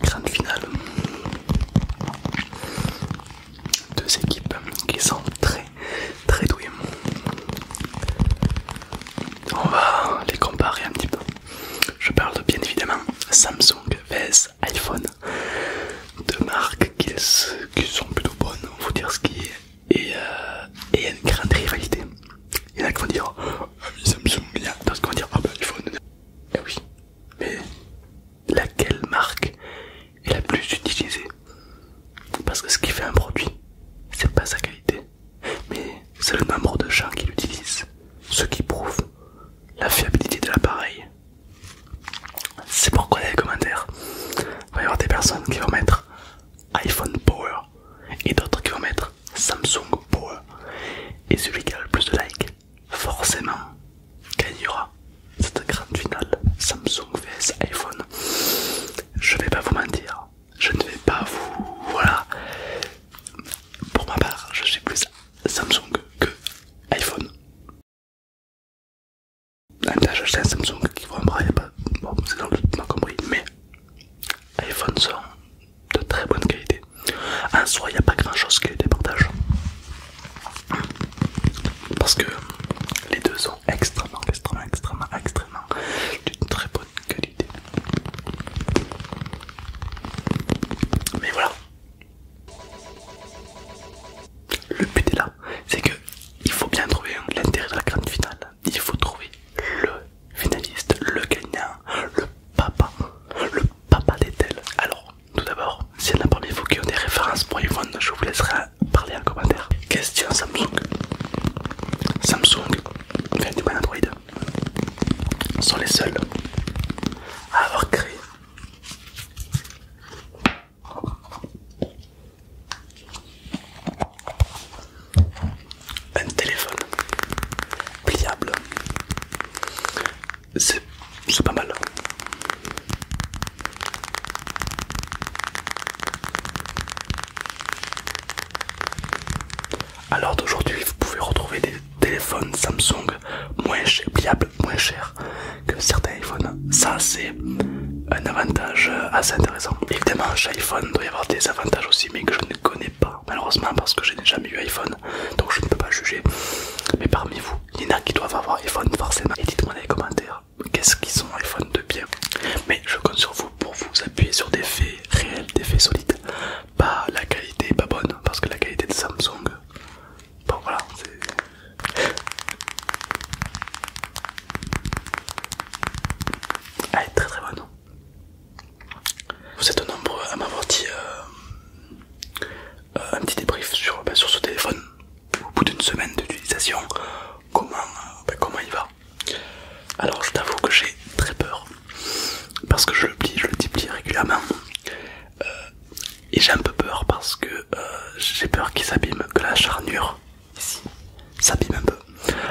Grande finale. Deux équipes qui sont très très douées. On va les comparer un petit peu. Je parle bien évidemment Samsung vs iPhone, deux marques qui, sont plutôt bonnes, vous dire ce qui est, euh, et, une grande rivalité. Il y en a qui vont dire ah, Samsung, il y a d'autres qui vont dire ah, ben, iPhone. Eh oui, mais laquelle marque est la plus utilisée Parce que ce qui fait un produit, c'est pas sa qualité, mais c'est le nombre de gens qui l'utilisent, ce qui prouve la fiabilité de l'appareil. C'est pourquoi les commentaires, il va y avoir des personnes qui vont mettre iPhone Power et d'autres qui vont mettre Samsung Power. Et celui qui a le plus de likes, forcément, gagnera cette grande finale Samsung vs iPhone. Je vais pas vous mentir, je ne vais pas vous. Voilà. Pour ma part, je sais plus Samsung que iPhone. Même ah, j'ai un Samsung qui vaut un bras, pas... bon, c'est dans le compris, mais iPhone sont de très bonne qualité. En soi, il n'y a pas grand chose que des départage parce que les deux sont extrêmement, extrêmement, extrêmement, extrêmement d'une très bonne qualité. Mais voilà. Le but est là, c'est que il faut bien trouver l'intérêt de la grande finale. Il faut trouver le finaliste, le gagnant, le papa, le papa des tels. Alors, tout d'abord, si en a parmi vous qui ont des références pour Yvonne, je vous laisserai parler en commentaire. Question Samsung. Samsung, enfin du Android, sont les seuls à avoir créé un téléphone pliable. C'est pas mal. Alors d'aujourd'hui, vous pouvez retrouver des téléphones Samsung moins chers, pliables, moins chers que certains iPhones. Ça, c'est un avantage euh, assez intéressant. Évidemment, chez iPhone, il doit y avoir des avantages aussi, mais que je ne connais pas, malheureusement, parce que je n'ai jamais eu iPhone, donc je ne peux pas juger. Mais parmi vous, il y en a qui doivent avoir iPhone forcément. Et dites-moi dans les commentaires, qu'est-ce qu'ils sont iPhone de bien Mais je compte sur vous pour vous appuyer sur des faits réels, des faits solides pas la qualité pas bonne parce que la qualité de Samsung bon voilà elle très très bonne vous êtes nombreux à m'avoir dit euh, euh, un petit débrief bah, sur, ce téléphone au bout d'une semaine d'utilisation comment, euh, bah, comment il va alors je t'avoue que j'ai très peur parce que je le plie, je le déplie régulièrement. Euh, et j'ai un peu peur parce que euh, j'ai peur qu'il s'abîme, que la charnure ici s'abîme un peu.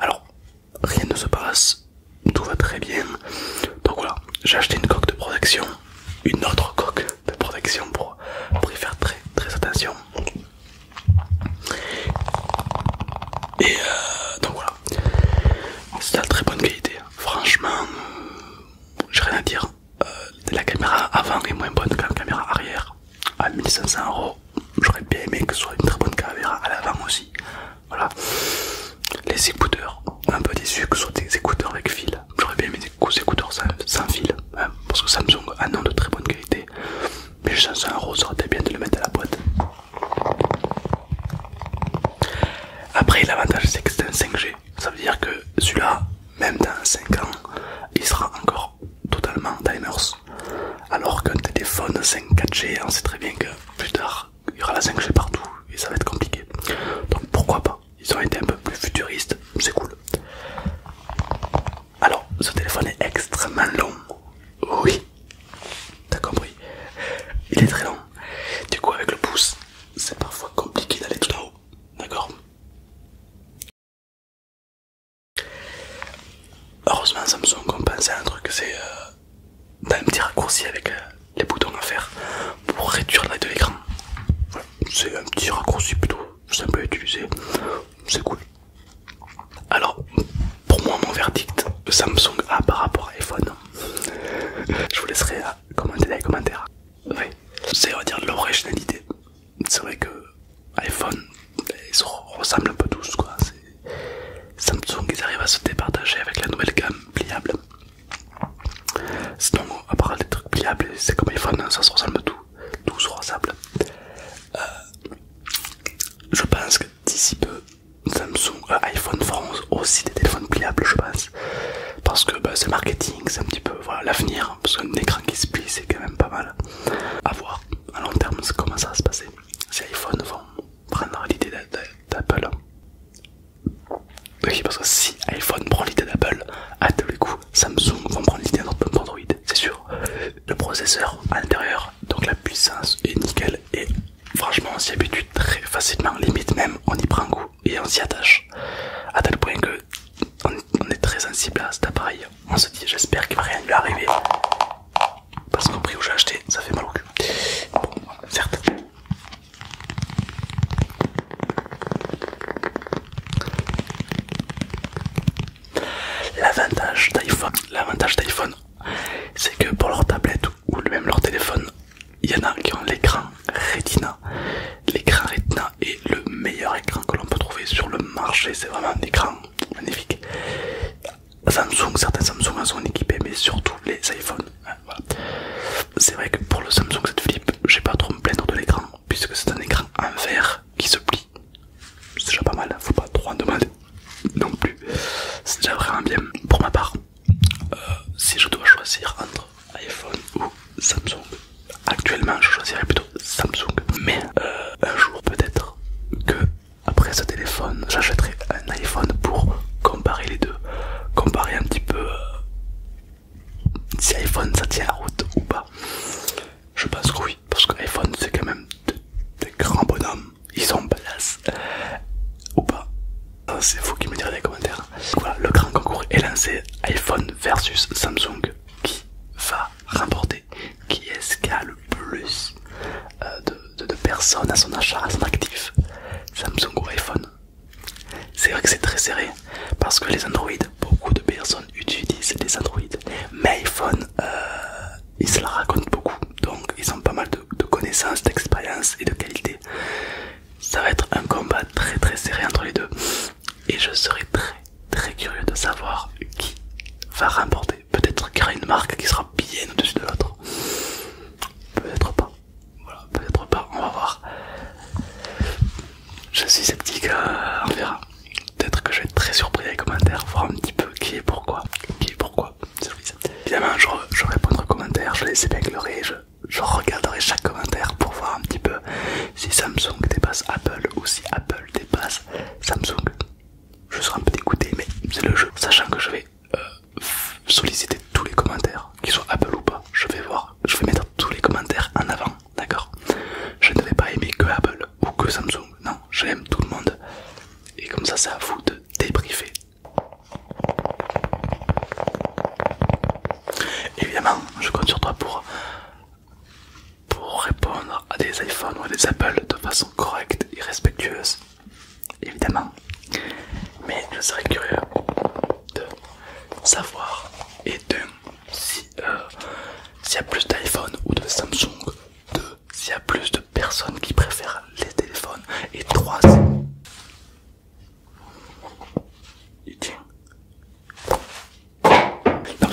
Alors rien ne se passe, tout va très bien. Donc voilà, j'ai acheté une coque de protection, une autre coque de protection pour, y faire très très attention. Et euh, donc voilà, c'est à très bonne qualité. Franchement, euh, j'ai rien à dire. Euh, la caméra avant est moins bonne que la caméra arrière. À 1500 euros, j'aurais bien aimé que ce soit une très bonne caméra à l'avant aussi. Voilà. Les écouteurs, un peu déçu que ce soit des écouteurs avec fil. J'aurais bien aimé des écouteurs sans, fil. Hein, parce que Samsung a un nom de très bonne qualité. Mais 500 euros, ça aurait été bien de le mettre à la boîte. Après l'avantage c'est que c'est un 5G, ça veut dire que celui-là, même dans 5 ans, il sera encore totalement timers. Alors qu'un téléphone 5-4G, on sait très bien que plus tard, il y aura la 5G partout et ça va être compliqué. Donc pourquoi pas Ils ont été un peu plus futuristes, c'est cool. Alors, ce téléphone est extrêmement long. Oui, T'as compris Il est très long. Du coup, avec le pouce, c'est parfois compliqué d'aller tout en haut. D'accord Heureusement, Samsung à un truc, c'est euh, un petit raccourci avec euh, les boutons à faire pour réduire la de l'écran. c'est un petit raccourci plutôt simple à utiliser, c'est cool. Alors, pour moi, mon verdict Samsung A par rapport à iPhone, je vous laisserai euh, commenter dans les commentaires. Oui, c'est on dire l'originalité. C'est vrai que iPhone, ils se ressemblent un peu tous quoi. Samsung, ils arrivent à se départager avec la nouvelle gamme pliable. Sinon, à part des trucs pliables, c'est comme iPhone, hein, ça se ressemble tout, tout se ressemble. Euh, je pense que d'ici peu, Samsung et euh, iPhone France aussi des téléphones pliables je pense parce que bah, c'est marketing c'est un petit peu l'avenir hein, parce qu'un écran qui se plie c'est quand même pas mal à voir à long terme comment ça va se passer si iPhone vont l'idée d'Apple parce que si iPhone prend l'idée d'Apple à tous les coups Samsung vont prendre l'idée d'Android c'est sûr le processeur à l'intérieur donc la puissance est nickel et franchement on s'y habitue très facilement, limite même on y prend goût et on s'y attache. À tel point que on est très sensible à cet appareil. On se dit j'espère qu'il va rien lui arriver. Parce qu'au prix où j'ai acheté, ça fait mal au cul. Bon, certes. L'avantage d'iPhone, l'avantage d'iPhone, c'est que pour leur tablette ou même leur téléphone, il y en a qui ont l'écran Retina. L'écran Retina est le meilleur écran que l'on peut trouver sur le marché, c'est vraiment un écran magnifique. Samsung, certains Samsung en sont équipés, mais surtout les iPhones. Hein, c'est vrai que pour le Samsung cette flip, j'ai pas trop me plaindre de l'écran, puisque c'est un écran en verre qui se plie. C'est déjà pas mal, faut pas trop en demander non plus. C'est déjà vraiment bien pour ma part. Euh, si je dois choisir entre iPhone ou Samsung, actuellement je choisirais plutôt Samsung. Mais euh, un jour peut-être que après ce téléphone, j'achèterai un iPhone pour comparer les deux, comparer un petit peu euh, si iPhone ça tient la route ou pas. Je pense que oui, parce que iPhone c'est quand même des grands bonhommes ils sont place ou pas euh, c'est vous qui me direz dans les commentaires le grand concours est lancé iPhone versus Samsung qui va remporter qui est-ce qui a le plus euh, de, personnes à son achat à son actif Samsung ou iPhone c'est vrai que c'est très serré parce que les Android beaucoup de personnes utilisent des Android mais iPhone euh, ils se la racontent beaucoup donc ils ont pas mal de de, connaissances, d'expérience et de qualité. Ça va être un combat très très serré entre les deux. Et je serai très très curieux de savoir qui va remporter. Peut-être qu'il y aura une marque qui sera bien au-dessus de l'autre. Peut-être pas. Voilà, peut-être pas, on va voir. Je suis sceptique, euh, on verra. Peut-être que je vais être très surpris les commentaires, voir un petit peu qui est pourquoi. Qui est pourquoi. Évidemment, je, répondrai aux commentaires, je les épinglerai, je, regarderai chaque commentaire pour voir un petit peu si Samsung dépasse Apple ou si Apple dépasse Samsung. Je serai un peu dégoûté, mais c'est le jeu. Sachant que je vais euh, solliciter tous les commentaires, qu'ils soient Apple ou pas, je vais voir, je vais mettre tous les commentaires en avant, d'accord Je ne vais pas aimer que Apple ou que Samsung, non, j'aime tout le monde. Et comme ça, c'est à vous de débriefer Évidemment, je compte sur toi pour, répondre à des iPhones ou des Apple de façon correcte et respectueuse. Évidemment. Mais je serais curieux de savoir et d'un, si euh, s'il y a plus d'iPhone ou de Samsung, deux s'il y a plus de personnes qui préfèrent les téléphones et trois il tient.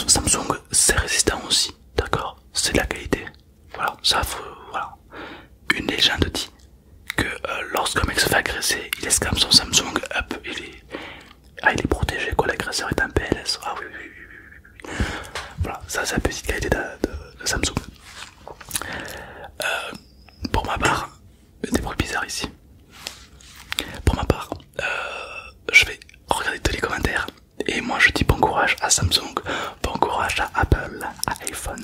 Samsung, c'est résistant aussi, d'accord C'est de la qualité. Voilà, ça voilà. Une légende dit que euh, lorsqu'un mec se fait agresser, il escame son Samsung, hop, il est, ah, il est protégé, quoi. L'agresseur est un PLS. Ah oui, oui, oui, Voilà, ça, c'est la petite qualité de, Samsung. Euh, pour ma part, des bruits bizarres ici. Pour ma part, euh, je vais regarder tous les commentaires et moi je dis bon courage à Samsung, bon courage à Apple, à iPhone.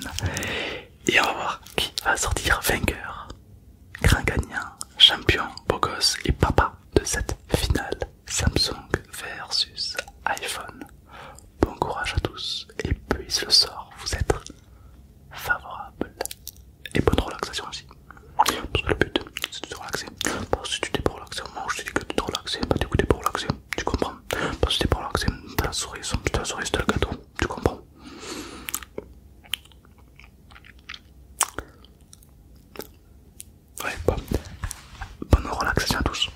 Et on va voir qui va sortir vainqueur, grand gagnant, champion, beau gosse et papa de cette finale Samsung versus iPhone. Bon courage à tous et puis le sort vous être favorable et bonne relaxation aussi. Parce que le but c'est de se relaxer. Parce que tu t'es pas relaxé au moment où je te dis que tu te relaxes bah du coup t'es pas relaxé, tu comprends. Parce que tu t'es pas relaxé, t'as la souris, t'as la souris, t'as le gâteau, tu comprends. Ouais, bon. Bonne relaxation à tous.